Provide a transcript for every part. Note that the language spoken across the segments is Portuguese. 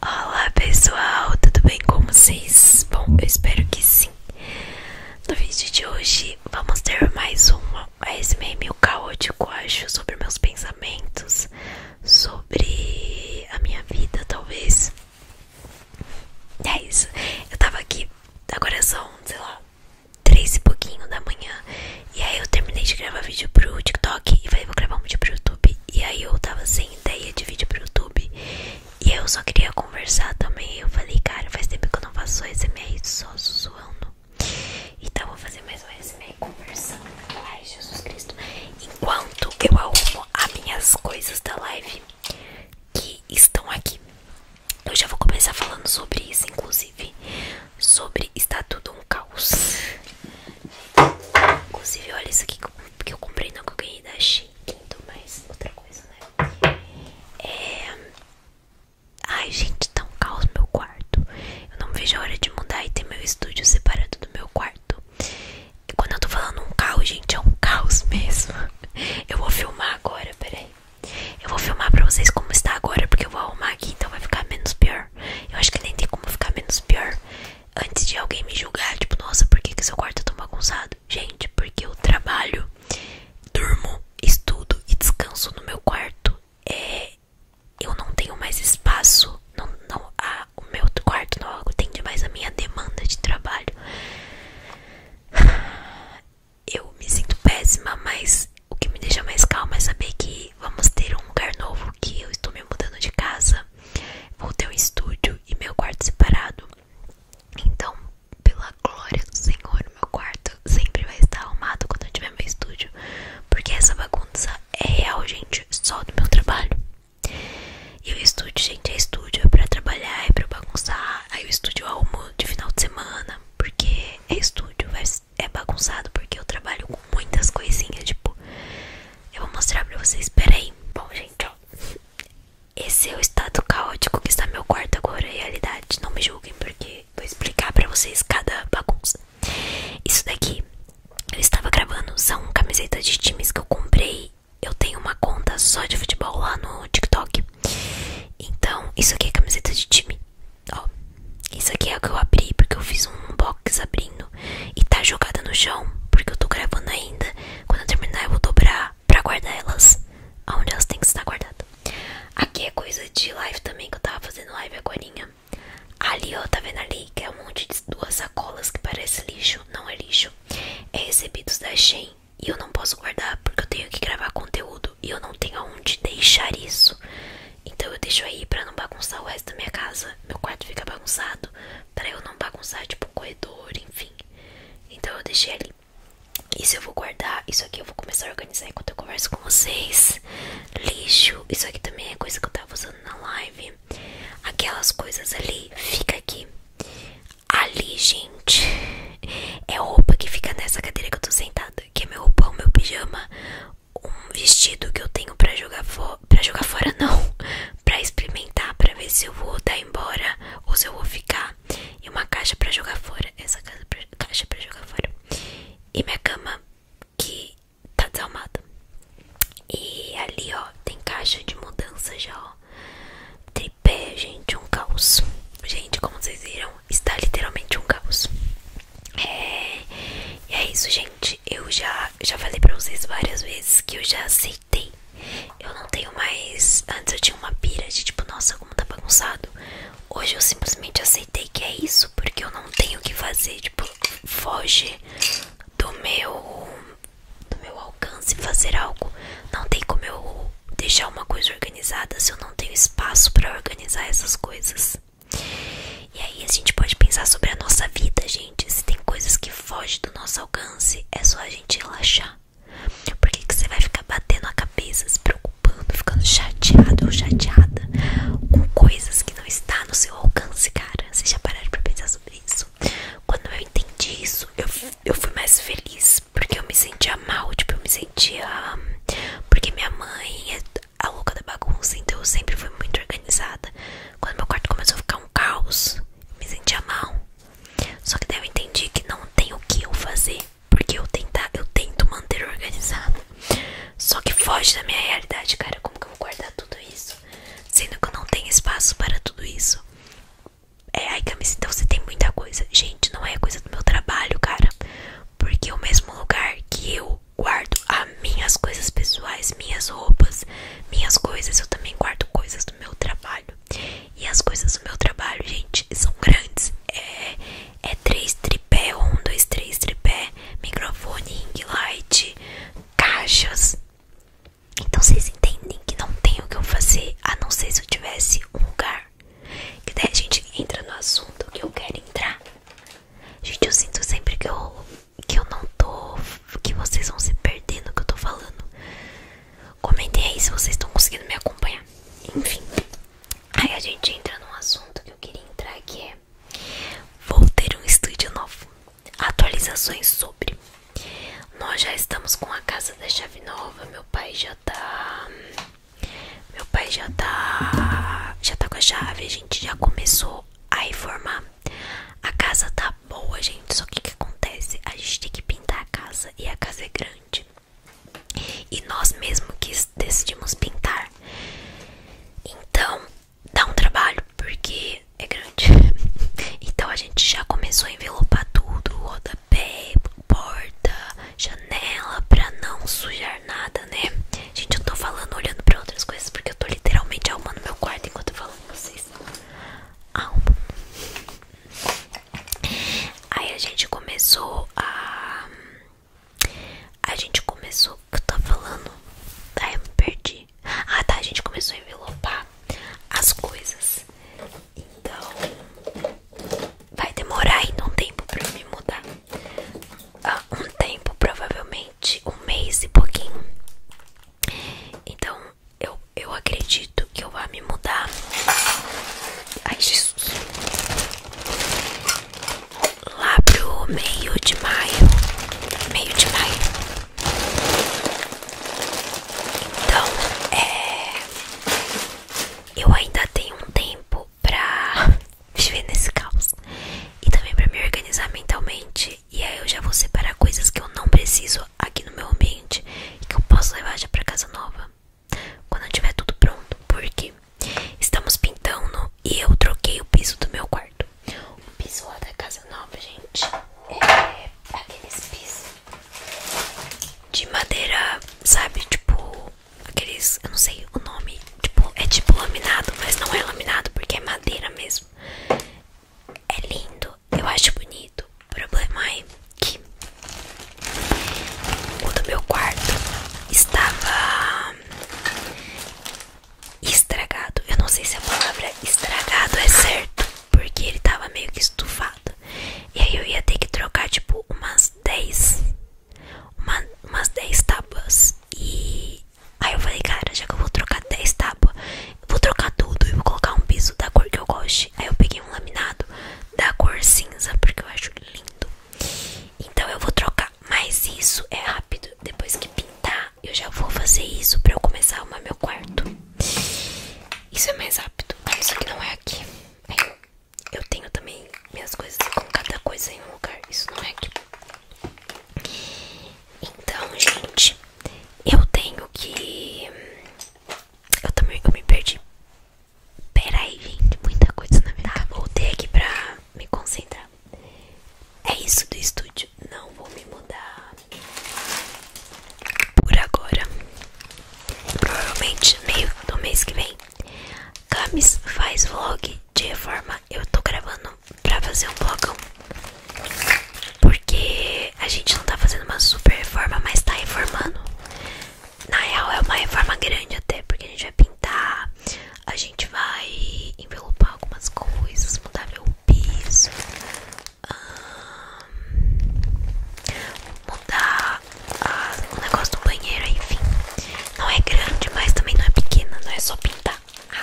Olá pessoal, tudo bem com vocês? Bom, eu espero que sim. No vídeo de hoje vamos ter mais uma ASMR meio caótico, acho, sobre meus pensamentos, sobre a minha vida, talvez. E é isso. Eu tava aqui, agora são, sei lá, três e pouquinho da manhã. E aí eu terminei de gravar vídeo pro TikTok e falei, vou gravar um vídeo pro YouTube. E aí eu tava sem ideia de vídeo pro YouTube. E eu só queria conversar também. Eu falei, cara, faz tempo que eu não faço ASMR só suando Então eu vou fazer mais um ASMR conversando. Ai, Jesus Cristo. Enquanto eu arrumo as minhas coisas da live que estão aqui. Eu já vou começar falando sobre isso, inclusive. Sobre está tudo um caos. Inclusive, olha isso aqui que eu comprei não que eu ganhei da Shein. Então, mais outra coisa, né? É. Ai, gente, tá um caos meu quarto. Eu não vejo a hora de mudar e ter meu estúdio separado do meu quarto. E quando eu tô falando um caos, gente, é um caos mesmo. Eu vou filmar agora, peraí. Eu vou filmar pra vocês como está agora, porque eu vou arrumar aqui, então vai ficar menos pior. Eu acho que nem tem como ficar menos pior antes de alguém me julgar, tipo, nossa, por que, que seu quarto é tão bagunçado? Gente, porque eu trabalho, durmo, estudo e descanso no meu quarto. É, eu não tenho mais espaço, não, não, a, o meu quarto não atende mais a minha demanda de trabalho. Eu me sinto péssima, mas o que me deixa mais calma é saber que vamos ter um lugar novo, que eu estou me mudando de casa vou ter um estúdio e meu quarto separado então pela glória do Senhor meu quarto sempre vai estar arrumado quando eu tiver meu estúdio porque essa bagunça é real gente só do meu trabalho e o estúdio gente é estúdio é para trabalhar é para bagunçar aí o estúdio eu arrumo de final de semana porque é estúdio vai é bagunçado porque eu trabalho com muitas coisinhas, tipo, eu vou mostrar pra vocês, peraí. Bom, gente, ó, esse é o estado caótico que está meu quarto agora, realidade, não me julguem porque vou explicar pra vocês cada bagunça. Isso daqui, eu estava gravando, são camisetas de times que eu comprei, eu tenho uma conta só de futebol lá no TikTok. Então, isso aqui é camiseta de time. Ó, isso aqui é o que eu abri porque eu fiz um box abrindo e tá jogada no chão porque eu tô gravando ainda. Quando eu terminar eu vou dobrar pra guardar elas aonde elas têm que estar guardadas. Aqui é coisa de live também que eu tava fazendo live agorinha. Ali ó, tá vendo ali que é um monte de duas sacolas que parece lixo, não é lixo. É recebidos da Shein e eu não posso guardar porque eu tenho que gravar conteúdo e eu não tenho aonde deixar isso. Então eu deixo aí pra não bagunçar o resto da minha casa. Meu quarto fica bagunçado pra eu não bagunçar, tipo, o corredor, enfim. Então eu deixei ali. Isso eu vou guardar. Isso aqui eu vou começar a organizar enquanto eu converso com vocês. Lixo. Isso aqui também é coisa que eu tava usando na live. Aquelas coisas ali. Fica aqui. Ali, gente. É roupa que fica nessa cadeira que eu tô sentada. Que é meu roupão, meu pijama um vestido que eu tenho pra jogar, fo pra jogar fora, não, pra experimentar, pra ver se eu vou dar embora ou se eu vou ficar. E uma caixa pra jogar fora, essa caixa caixa pra jogar fora. E minha cama que tá desalmada. E ali, ó, tem caixa de mudança já, ó. Tripé, gente, um caos. Gente, como vocês viram, está literalmente um caos. É, e é isso, gente. Eu já, já falei pra vocês várias vezes que eu já aceitei. Eu não tenho mais. Antes eu tinha uma pira de tipo, nossa, como tá bagunçado. Hoje eu simplesmente aceitei que é isso, porque eu não tenho o que fazer. Tipo, foge do meu, do meu alcance fazer algo. Não tem como eu deixar uma coisa organizada se eu não tenho espaço para organizar essas coisas. E aí a gente pode pensar sobre a nossa vida, gente. Se tem coisas que fogem do nosso alcance, é só a gente relaxar. porque que, você vai ficar batendo a cabeça, se preocupando, ficando chateado ou chateada com coisas que não está no seu alcance, cara? Vocês já pararam pra pensar sobre isso? Quando eu entendi isso, eu, eu fui mais feliz, porque eu me sentia mal, tipo, eu me sentia... Hum, porque minha mãe é a louca da bagunça, então eu sempre fui muito organizada. Quando meu quarto começou a ficar um caos, me sentia mal. Só que daí eu entendi que não tem o que eu fazer, porque eu, tentar, eu tento manter organizado. Só que foge da minha realidade, cara. Como que eu vou guardar tudo isso? Sendo que eu não tenho espaço para tudo isso. É, ai, Camis, então você tem muita coisa. Gente, não é coisa do meu trabalho, cara porque o mesmo lugar que eu guardo as minhas coisas pessoais, minhas roupas, minhas coisas, eu também guardo coisas do meu trabalho. E as coisas do meu trabalho, gente, são grandes. É, é três tripé, um, dois, três tripé, microfone, ring light, caixas. Então vocês entendem que não tem o que eu fazer, a não ser se eu tivesse um lugar. Que daí gente entra no assunto que eu quero entrar. Gente, eu sinto sempre que eu, que eu não tô. Que vocês vão se perdendo o que eu tô falando. Comentem aí se vocês estão conseguindo me acompanhar. Enfim. Aí a gente entra num assunto que eu queria entrar que é. Vou ter um estúdio novo. Atualizações sobre. Nós já estamos com a casa da chave nova. Meu pai já tá. Meu pai já tá, já tá com a chave, a gente já começou a reformar. A casa tá boa, gente, só que o que acontece? A gente tem que pintar a casa e a casa é grande. E nós mesmos que decidimos pintar. Então, dá um trabalho porque é grande. então a gente já começou a envelopar tudo, rodapé, porta, janela pra não sujar nada, né? Gente, eu tô falando olhando pra outras coisas porque eu tô literalmente arrumando meu quarto enquanto eu falo com vocês. Arrumo. Aí a gente começou a. A gente começou. O que eu tava falando? Ai, eu me perdi. Ah, tá. A gente começou a envelopar as coisas. Então vai demorar ainda um tempo pra eu me mudar. Ah, um tempo, provavelmente um mês e pouquinho. Então eu, eu acredito que eu vá me mudar. Ai, Jesus. Lá pro meio de maio. Meio de maio. Então, é. Eu ainda tenho um tempo pra viver nesse caos. E também para me organizar mentalmente. E aí eu já vou separar coisas que eu não preciso aqui no meu ambiente e que eu posso levar já para casa nova. Quando tiver tudo pronto, porque estamos pintando e eu troquei o piso do meu quarto. O piso da casa nova, gente, é aqueles pisos de madeira, sabe? Tipo, Aqueles, eu não sei o nome tipo, É tipo laminado, mas não é laminado Porque é madeira mesmo É lindo, eu acho bonito O problema é que O do meu quarto Estava Estragado Eu não sei se a palavra estragado é certo Porque ele tava meio que estufado E aí eu ia ter que trocar tipo Umas 10 uma, umas 10 tábuas. E aí eu falei, cara, já que eu vou trocar 10 tábuas, eu vou trocar tudo e vou colocar um piso da cor que eu goste. Aí eu peguei um laminado da cor cinza, porque eu acho lindo. Então eu vou trocar. Mas isso é rápido. Depois que pintar, eu já vou fazer isso pra eu começar a arrumar meu quarto. Isso é mais rápido. Ah, isso que não é aqui. Aí eu tenho também minhas coisas com cada coisa em um lugar. Isso não é aqui. Então, gente, eu tenho que. Eu também eu me perdi. Pera aí, gente, muita coisa na minha tá, Voltei aqui pra me concentrar. É isso do estúdio. Não vou me mudar por agora. Provavelmente meio do mês que vem Camis faz vlog de reforma. Eu tô gravando pra fazer um vlogão. Porque a gente não tá fazendo uma super reforma, mas tá reformando. Na real, é uma reforma grande até, porque a gente vai pintar, a gente vai envelopar algumas coisas, mudar meu piso, mudar o negócio do banheiro, enfim. Não é grande, mas também não é pequena, não é só pintar.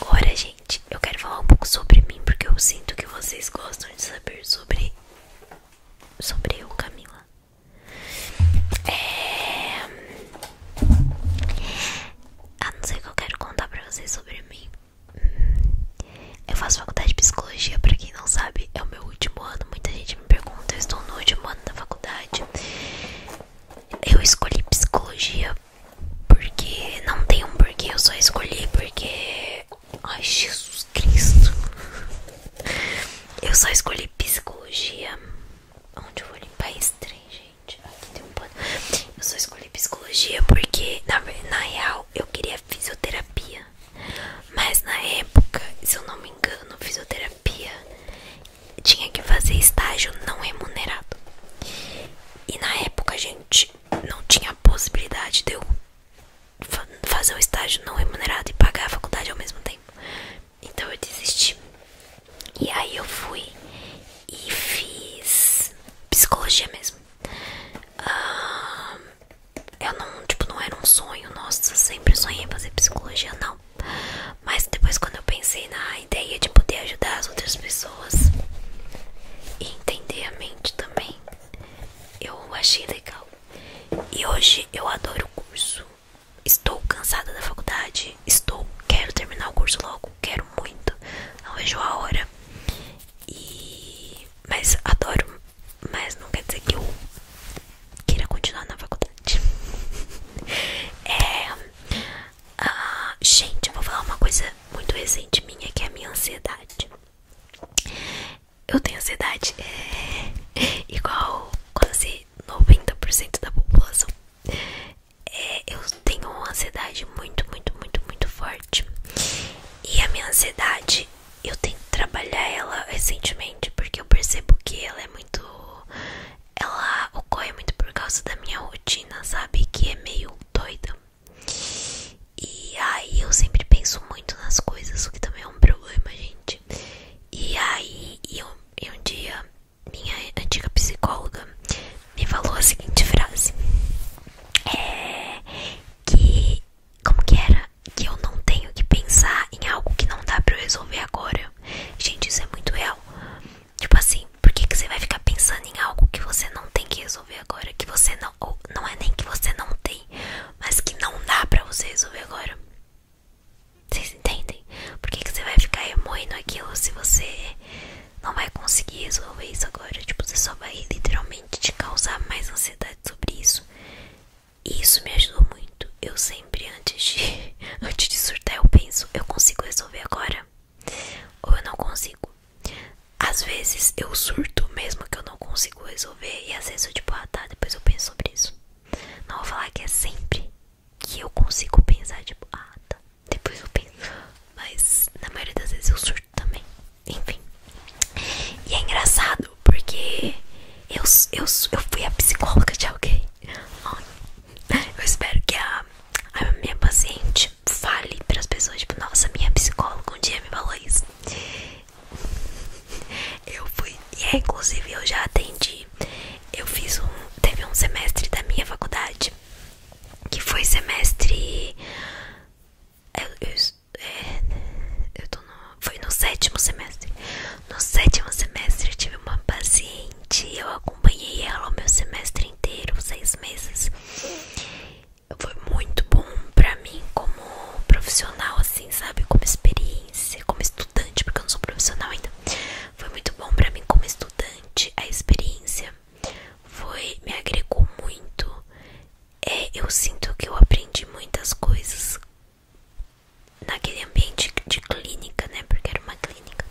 Agora, gente, eu quero falar um pouco sobre mim, porque eu sinto que vocês gostam de saber sobre. Sobre eu, Camila. É. Ah, não sei o que eu quero contar pra vocês sobre mim. Hum, eu faço faculdade de psicologia, pra quem não sabe, é o meu último ano. Muita gente gente me pergunta, eu estou no último ano da faculdade. Eu escolhi psicologia porque não tem um porquê, eu só escolhi porque. Ai, Jesus Cristo! Eu só escolhi psicologia. Onde eu vou limpar esse trem, gente? Aqui tem um pano. Eu só escolhi psicologia porque, na, na real, eu queria fisioterapia. Mas na época, se eu não me engano, fisioterapia tinha que fazer estágio não remunerado. E na época a gente não tinha possibilidade de eu fazer um estágio não remunerado e pagar a faculdade ao mesmo tempo. Então eu desisti. E aí eu fui e fiz psicologia mesmo. Ah, eu não, tipo, não era um sonho, nossa, sempre sonhei fazer psicologia, não. Mas depois quando eu pensei na ideia de poder ajudar as outras pessoas e entender a mente também, eu achei legal. E hoje eu adoro o curso. Estou cansada da faculdade, estou, quero terminar o curso logo, quero muito, não vejo a hora. E mas adoro mas não quer dizer que eu queira continuar na faculdade. É, ah, gente, eu vou falar uma coisa muito recente minha que é a minha ansiedade. Eu tenho ansiedade é, igual quase 90% da população. É, eu tenho uma ansiedade muito, muito, muito, muito forte. E a minha ansiedade eu tento trabalhar ela recentemente porque eu percebo que ela é muito. Ela ocorre muito por causa da minha rotina, sabe? Que é meio doida. E aí eu sempre penso muito nas coisas, o que também é um problema, gente. E aí, e um, e um dia, minha antiga psicóloga me falou a seguinte frase: É. Que. Como que era? que eu não tenho que pensar em algo que não dá pra eu resolver agora. Gente, isso é muito real. Tipo assim, por que, que você vai ficar pensando em algo que você não tem que resolver agora? Que você não. não é nem que você não tem, mas que não dá pra você resolver agora. Vocês entendem? Por que, que você vai ficar remoendo aquilo se você não vai conseguir resolver isso agora? Tipo, você só vai literalmente te causar mais ansiedade sobre isso. E isso me ajudou muito. Eu sempre, antes de, antes de surtar, eu penso, eu consigo resolver agora? Ou eu não consigo? Às vezes eu surto mesmo que eu não consigo resolver. E às vezes eu tipo, ah tá, depois eu penso sobre isso. Não vou falar que é sempre que eu consigo pensar, tipo, ah tá, depois eu penso. Mas na maioria das vezes eu surto também. Enfim. E é engraçado porque eu, eu, eu fui a psicóloga de alguém. Eu espero que a, minha paciente fale para as pessoas: tipo, nossa, minha psicóloga um dia me falou isso. Eu fui, e é, inclusive eu já atendi. Eu fiz um. Teve um semestre da minha faculdade que foi semestre. Eu, é, né? eu tô no, foi no sétimo semestre. No sétimo semestre eu tive uma paciente, eu acompanhei ela o meu semestre inteiro, seis meses. Foi muito bom pra mim como profissional, assim, sabe? Como experiência, como estudante, porque eu não sou profissional ainda. Foi muito bom pra mim como estudante, a experiência foi me agregou muito é, eu sinto que eu aprendi muitas coisas naquele ambiente de clínica, né? Porque era uma clínica.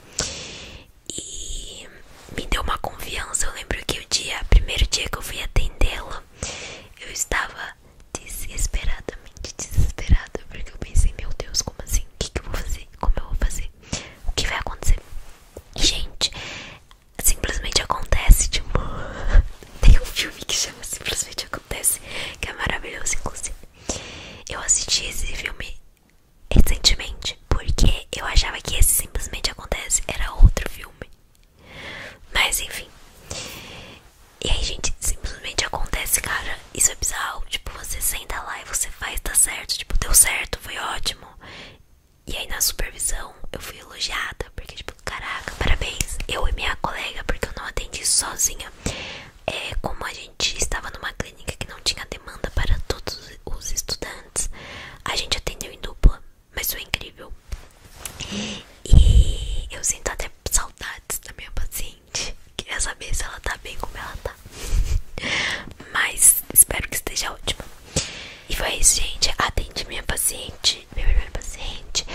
E me deu uma confiança. Eu lembro que o dia, primeiro dia que eu fui atendê-la, eu estava desesperadamente desesperada. Porque eu pensei, meu Deus, como assim? O que, que eu vou fazer? Como eu vou fazer? O que vai acontecer? Gente, simplesmente acontece, tipo. Tem um filme que chama Simplesmente Acontece, que é maravilhoso, inclusive. Eu assisti esse filme recentemente, porque eu achava que esse Simplesmente Acontece era outro filme. Mas enfim. E aí, gente, simplesmente acontece, cara. Isso é bizarro. Tipo, você senta lá e você faz, tá certo. Tipo, deu certo, foi ótimo. E aí na supervisão eu fui elogiada, porque tipo, caraca, parabéns, eu e minha colega, porque eu não atendi sozinha. É, como a gente estava numa clínica que não tinha demanda para todos os estudantes, a gente atendeu em dupla, mas foi incrível. E eu sinto até saudades da minha paciente. Queria saber se ela tá bem, como ela tá. Mas espero que esteja ótima. E foi isso, gente. Atendi minha paciente, minha primeira paciente.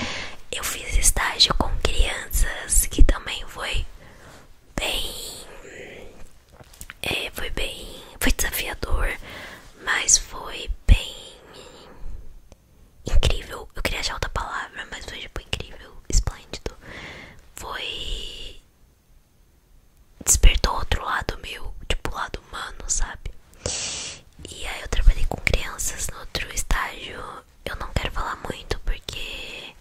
Eu fiz estágio com crianças, que também foi bem. É, foi bem. Foi desafiador, mas foi bem. Incrível. Eu queria achar outra palavra, mas foi tipo incrível, esplêndido. Foi despertou outro lado meu, tipo o lado humano, sabe? E aí eu trabalhei com crianças no outro estágio. Eu não quero falar muito porque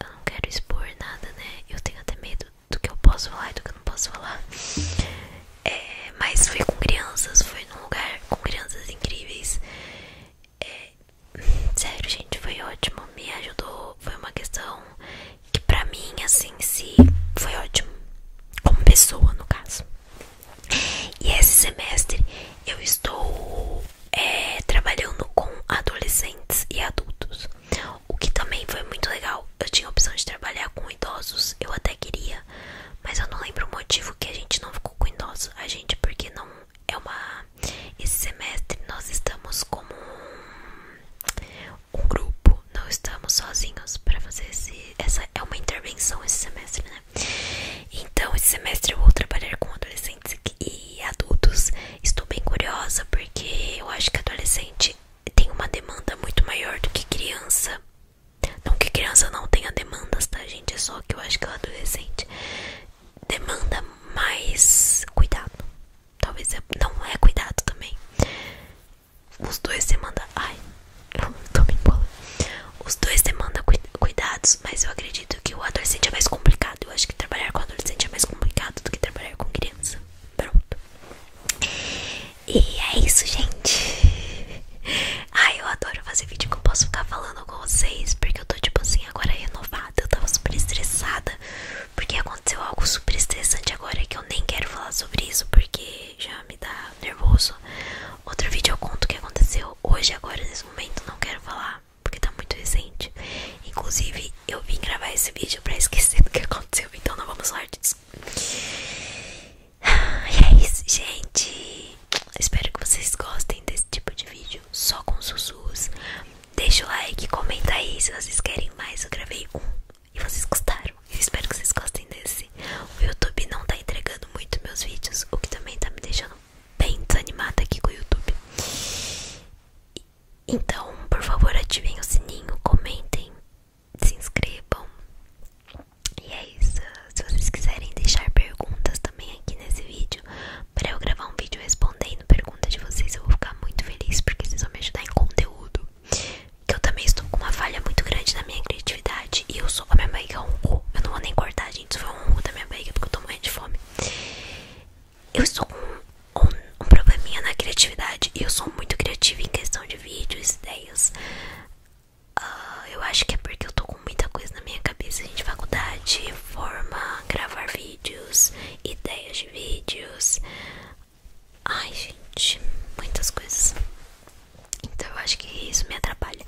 eu não quero expor nada, né? Eu tenho até medo do que eu posso falar e do que eu não posso falar. É, mas foi com crianças, foi num lugar com crianças incríveis. É, sério, gente, foi ótimo. Me ajudou. Foi uma questão que pra mim, assim, se foi ótimo, como pessoa, no caso. E esse semestre eu estou é, trabalhando com adolescentes e adultos, o que também foi muito legal. Eu tinha a opção de trabalhar com idosos, eu até queria, mas eu não lembro o motivo que a gente não ficou com idosos. A gente, porque não é uma. Esse semestre nós estamos como um grupo, não estamos sozinhos para fazer esse, essa é uma intervenção esse semestre, né? Então esse semestre eu vou trabalhar com adolescentes e adultos. Estou bem curiosa porque eu acho que adolescente tem uma demanda muito maior do que criança. Não que criança não tenha demandas, tá gente? É só que eu acho que o adolescente demanda mais cuidado. Talvez é, não é cuidado também. Os dois demandam. Ai, tô me bola, Os dois demandam cuidados, mas eu acredito que o adolescente é mais complicado. Eu acho que trabalhar com adolescente é mais complicado do que trabalhar com criança. Pronto. E é isso, gente. Ai, eu adoro fazer vídeo que eu posso ficar falando com vocês. Porque eu tô, tipo assim, agora renovada. Eu tava super estressada. Porque aconteceu algo super estressante agora que eu nem quero falar sobre isso porque já me dá nervoso. Outro vídeo eu conto o que aconteceu hoje, agora, nesse momento, não quero falar porque tá muito recente. Inclusive, eu vim gravar esse vídeo pra esquecer do que aconteceu, então não vamos falar disso. Ah, e é isso, gente. Espero que vocês gostem desse tipo de vídeo só com susus Deixa o like, comenta aí se vocês querem mais. Eu gravei um e vocês gostaram. Eu espero que vocês gostem desse. O YouTube não tá entregando muito meus vídeos, o que também tá me deixando bem desanimada aqui com o YouTube. Então, por favor, ativem o sininho, comentem, se inscrevam. E é isso. Se vocês quiserem deixar perguntas também aqui nesse vídeo, para eu gravar um vídeo respondendo perguntas de vocês, eu vou ficar muito feliz porque vocês vão me ajudar em conteúdo. Que eu também estou com uma falha muito grande na minha criatividade. E eu sou. A minha barriga é roncou. Eu não vou nem cortar, gente. Isso foi um da minha barriga porque eu estou morrendo de fome. Eu estou com um, um probleminha na criatividade. E eu sou muito criativa em questão de vídeos, ideias. Ah, eu acho que é porque eu estou com muita coisa na minha cabeça, gente. Faculdade, forma, gravar vídeos, ideias de vídeos, Ai, gente, muitas coisas. Então eu acho que isso me atrapalha.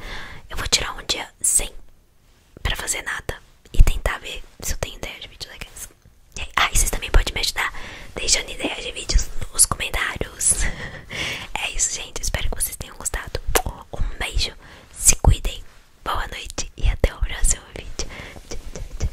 Eu vou tirar um dia sem pra fazer nada e tentar ver se eu tenho ideia de vídeos legais. E aí, vocês também podem me ajudar deixando ideias de vídeos nos comentários. É isso, gente. Espero que vocês tenham gostado. Um beijo, se cuidem, boa noite e até o próximo vídeo.